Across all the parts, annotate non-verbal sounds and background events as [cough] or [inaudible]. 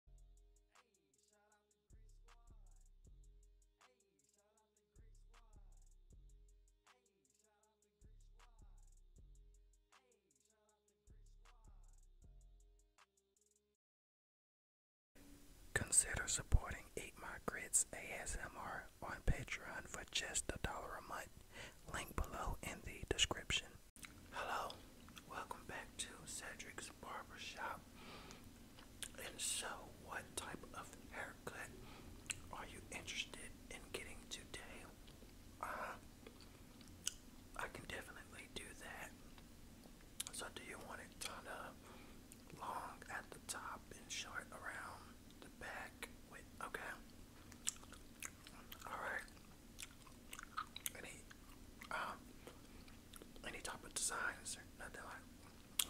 Hey, shout out the Great Squad. Hey, shout out the Great Squad. Hey, shout out the Great Squad. Hey, shout out the Great Squad. Consider supporting Eat My Grits ASMR on Patreon for just a dollar a month. Link below in the description. Hello, welcome back to Cedric's Barbershop. And so, what type of haircut are you interested in getting today? Uh-huh. I can definitely do that. So, do you want it kind of long at the top and short around the back? okay. All right. Any um, any type of designs or nothing like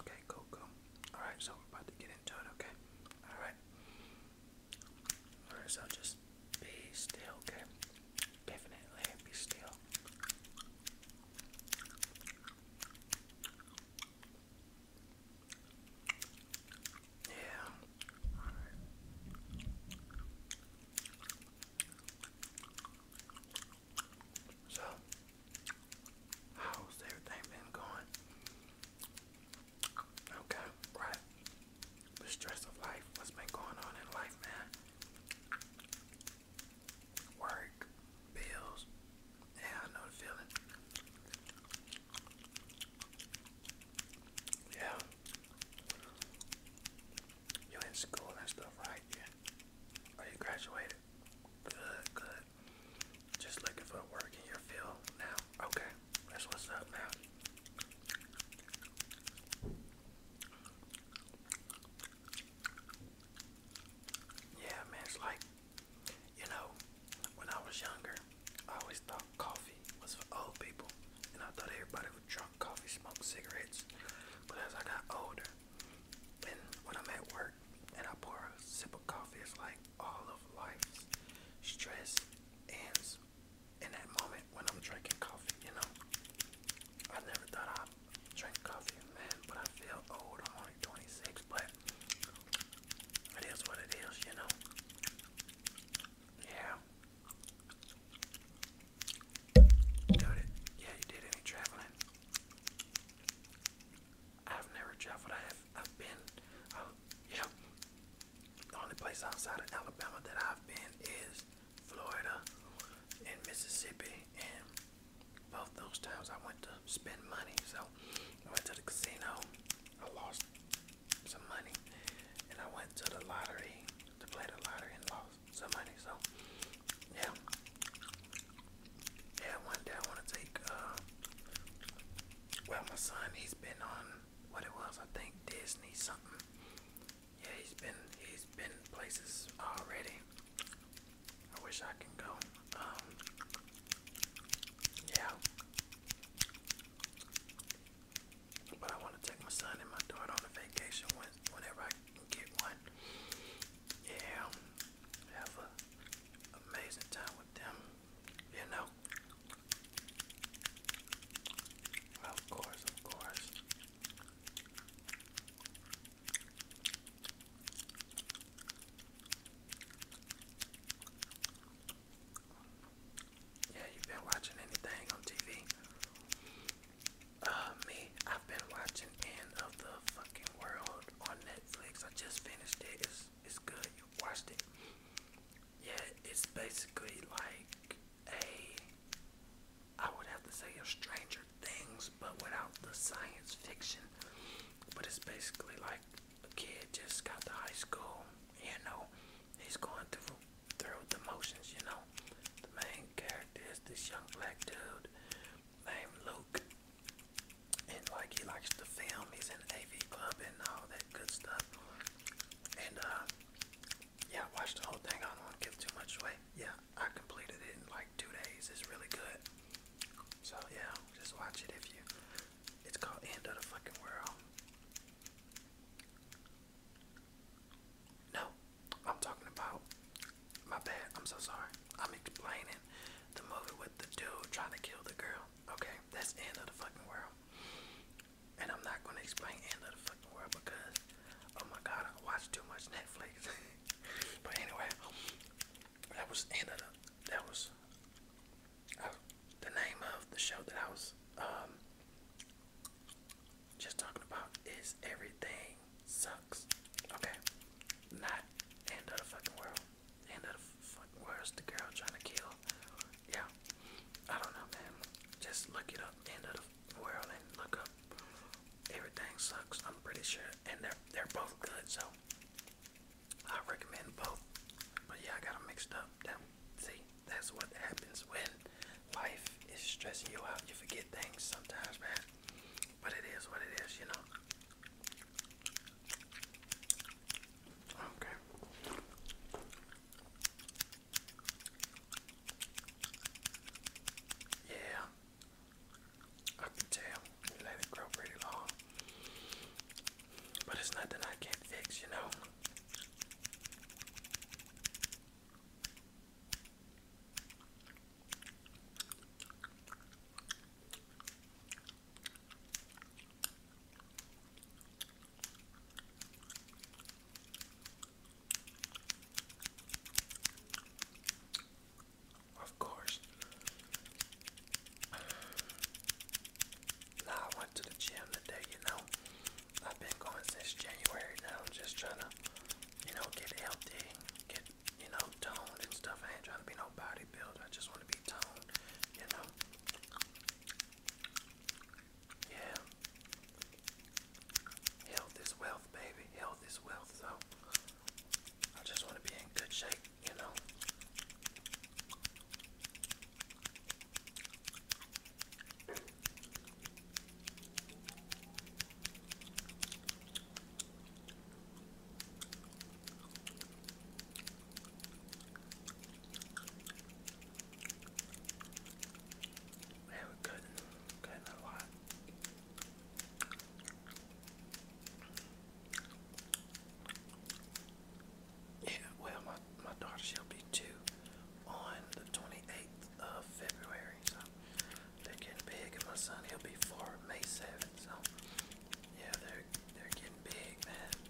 Okay, cool, cool. Alright, so we're about to get into it, okay? Alright. Alright, so just be still, okay? Definitely be still. Yeah. So, how's everything been going? Okay, right. The stress of life, what's been going on in life, man? Work, bills, yeah, I know the feeling. Yeah. You in school and stuff, right? Yeah. Are oh, you graduated? Good, good. Just looking for work in your field now. Okay, that's what's up now. Yeah, man, it's like, you know, when I was younger, I always thought coffee was for old people, and I thought everybody would drink drunk coffee, smoked cigarettes. But as I got older, and when I'm at work and I pour a sip of coffee, it's like all of life's stress ends in that moment when I'm drinking coffee, you know. I never thought I'd drink coffee, man, but I feel old. I'm only 26, but it is what it is, you know. Yeah. Got it. Yeah, you did any traveling? I've never traveled. I have. I've been. Oh, yeah. The only place outside of Alabama that I've been is Florida and Mississippi, and both those times I went to spend money. So I went to the casino. I lost some money, and I went to the lottery to play the lottery and lost somebody. So yeah, yeah. One day I want to take. Uh, well, my son, he's been on what it was, I think Disney something. Yeah, he's been he's been places already. I wish I can go. Um, yeah. But I want to take my son and my daughter on a vacation when, whenever I one, go get one. Yeah, have a amazing time with them, you know. Of course, of course. Yeah, you've been watching anything on TV? Uh, me, I've been watching End of the Fucking World on Netflix. I just finished it. It's, it's good. You watched it. Yeah, it's basically like a. I would have to say a Stranger Things, but without the science fiction. But it's basically like a kid just got to high school. You know, he's going through through the motions. You know, the main character is this young black dude named Luke. And like he likes to film, he's in AV club and all that good stuff. And uh, yeah, I the whole thing. I don't want to give too much away. Yeah, I completed it in like two days. It's really good. So yeah, just watch it if you. It's called End of the Fucking World. No, I'm talking about. My bad. I'm so sorry. I'm explaining the movie with the dude trying to kill the girl. Okay, that's end of the fucking world. And I'm not gonna explain end of the fucking world because, oh my god, I watch too much Netflix. [laughs] but anyway, that was end of the. That was uh, the name of the show that I was um, just talking about is everything sucks. Okay, not end of the fucking world. End of the fucking world the girl trying to kill. Yeah, I don't know, man. Just look it up. End of the world and look up. Everything sucks. I'm pretty sure, and they're they're both good. So I recommend both. But yeah, I got them mixed up. That, see, that's what happens when life is stressing you out. You forget things sometimes, man. But it is what it is, you know. Okay. Yeah. I can tell. You let it grow pretty long. But it's nothing I can't fix, you know. Of course. Now I went to the gym today, you know. I've been going since January now, just trying to you know, get healthy, get, you know, toned and stuff. I ain't trying to be no bodybuilder. I just want to be toned, you know. Yeah. Health is wealth, baby. Health is wealth, so I just want to be in good shape, you know. Yeah, we're good. Good a lot. Yeah, well, my my daughter she'll be two on the twenty eighth of February, so they're getting big, and my son he'll be four May seventh. So yeah, they're they're getting big, man.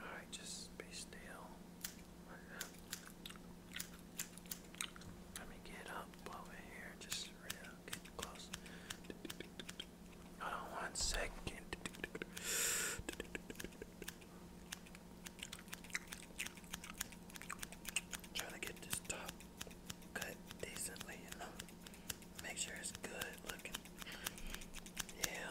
All right, just be still. Let me get up over here, just real close. one second. Trying to get this top cut decently, you know. Make sure it's good looking. Yeah.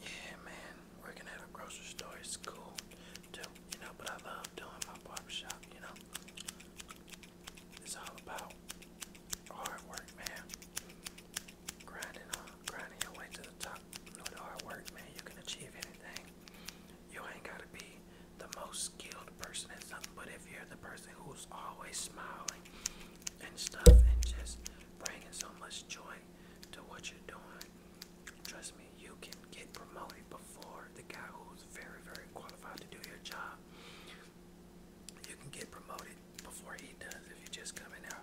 Yeah, man, working at a grocery store is cool you know, but I love doing my barbershop, you know. It's all about hard work, man. Grinding uh, grinding your way to the top. No hard work, man, you can achieve anything. You ain't gotta be the most skilled person at something, but if you're the person who's always smiling and stuff and just bringing so much joy to what you're doing, trust me, you can get promoted before the guy who's very, very qualified to do your job. You can get promoted before he does if you just come in there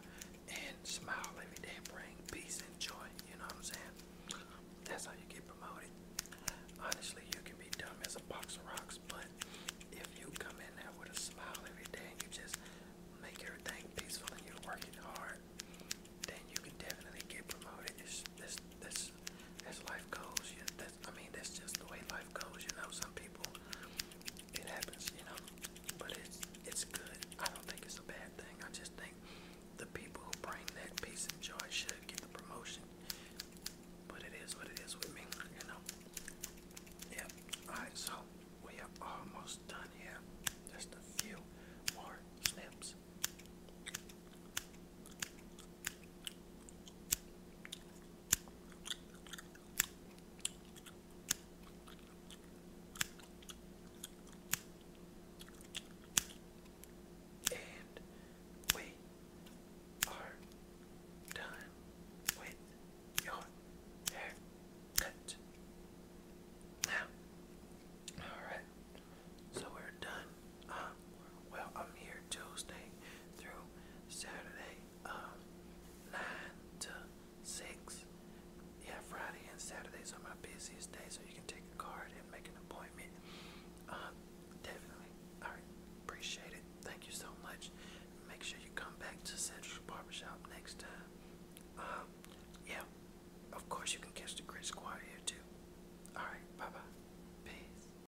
and smile every day and bring peace and joy. You know what I'm saying? That's how you get promoted. Honestly, you can be dumb as a box of rocks, but if you come in there with a smile every day and you just make everything peaceful and you're working hard, then you can definitely get promoted. It's, that's, that's, that's life goes. You, I mean that's just the way life goes, you know. Some people it happens, you know. But it's it's good. I don't think it's a bad thing. I just think the people who bring that peace and joy should get the promotion. But it is what it is with me, you know. Yep. Alright, so we are almost done here. Just a few more snips. And we are done with your haircut. Now, alright, so we're done um, well, I'm here Tuesday through Saturday, um, 9 to 6. Yeah, Friday and Saturdays are my busiest days, so you can take a card and make an appointment. Um, definitely. I appreciate it. Thank you so much. Make sure you come back to Central Barbershop next time. Um, yeah, of course you can catch the Great Squad here too. Alright, bye bye. Peace.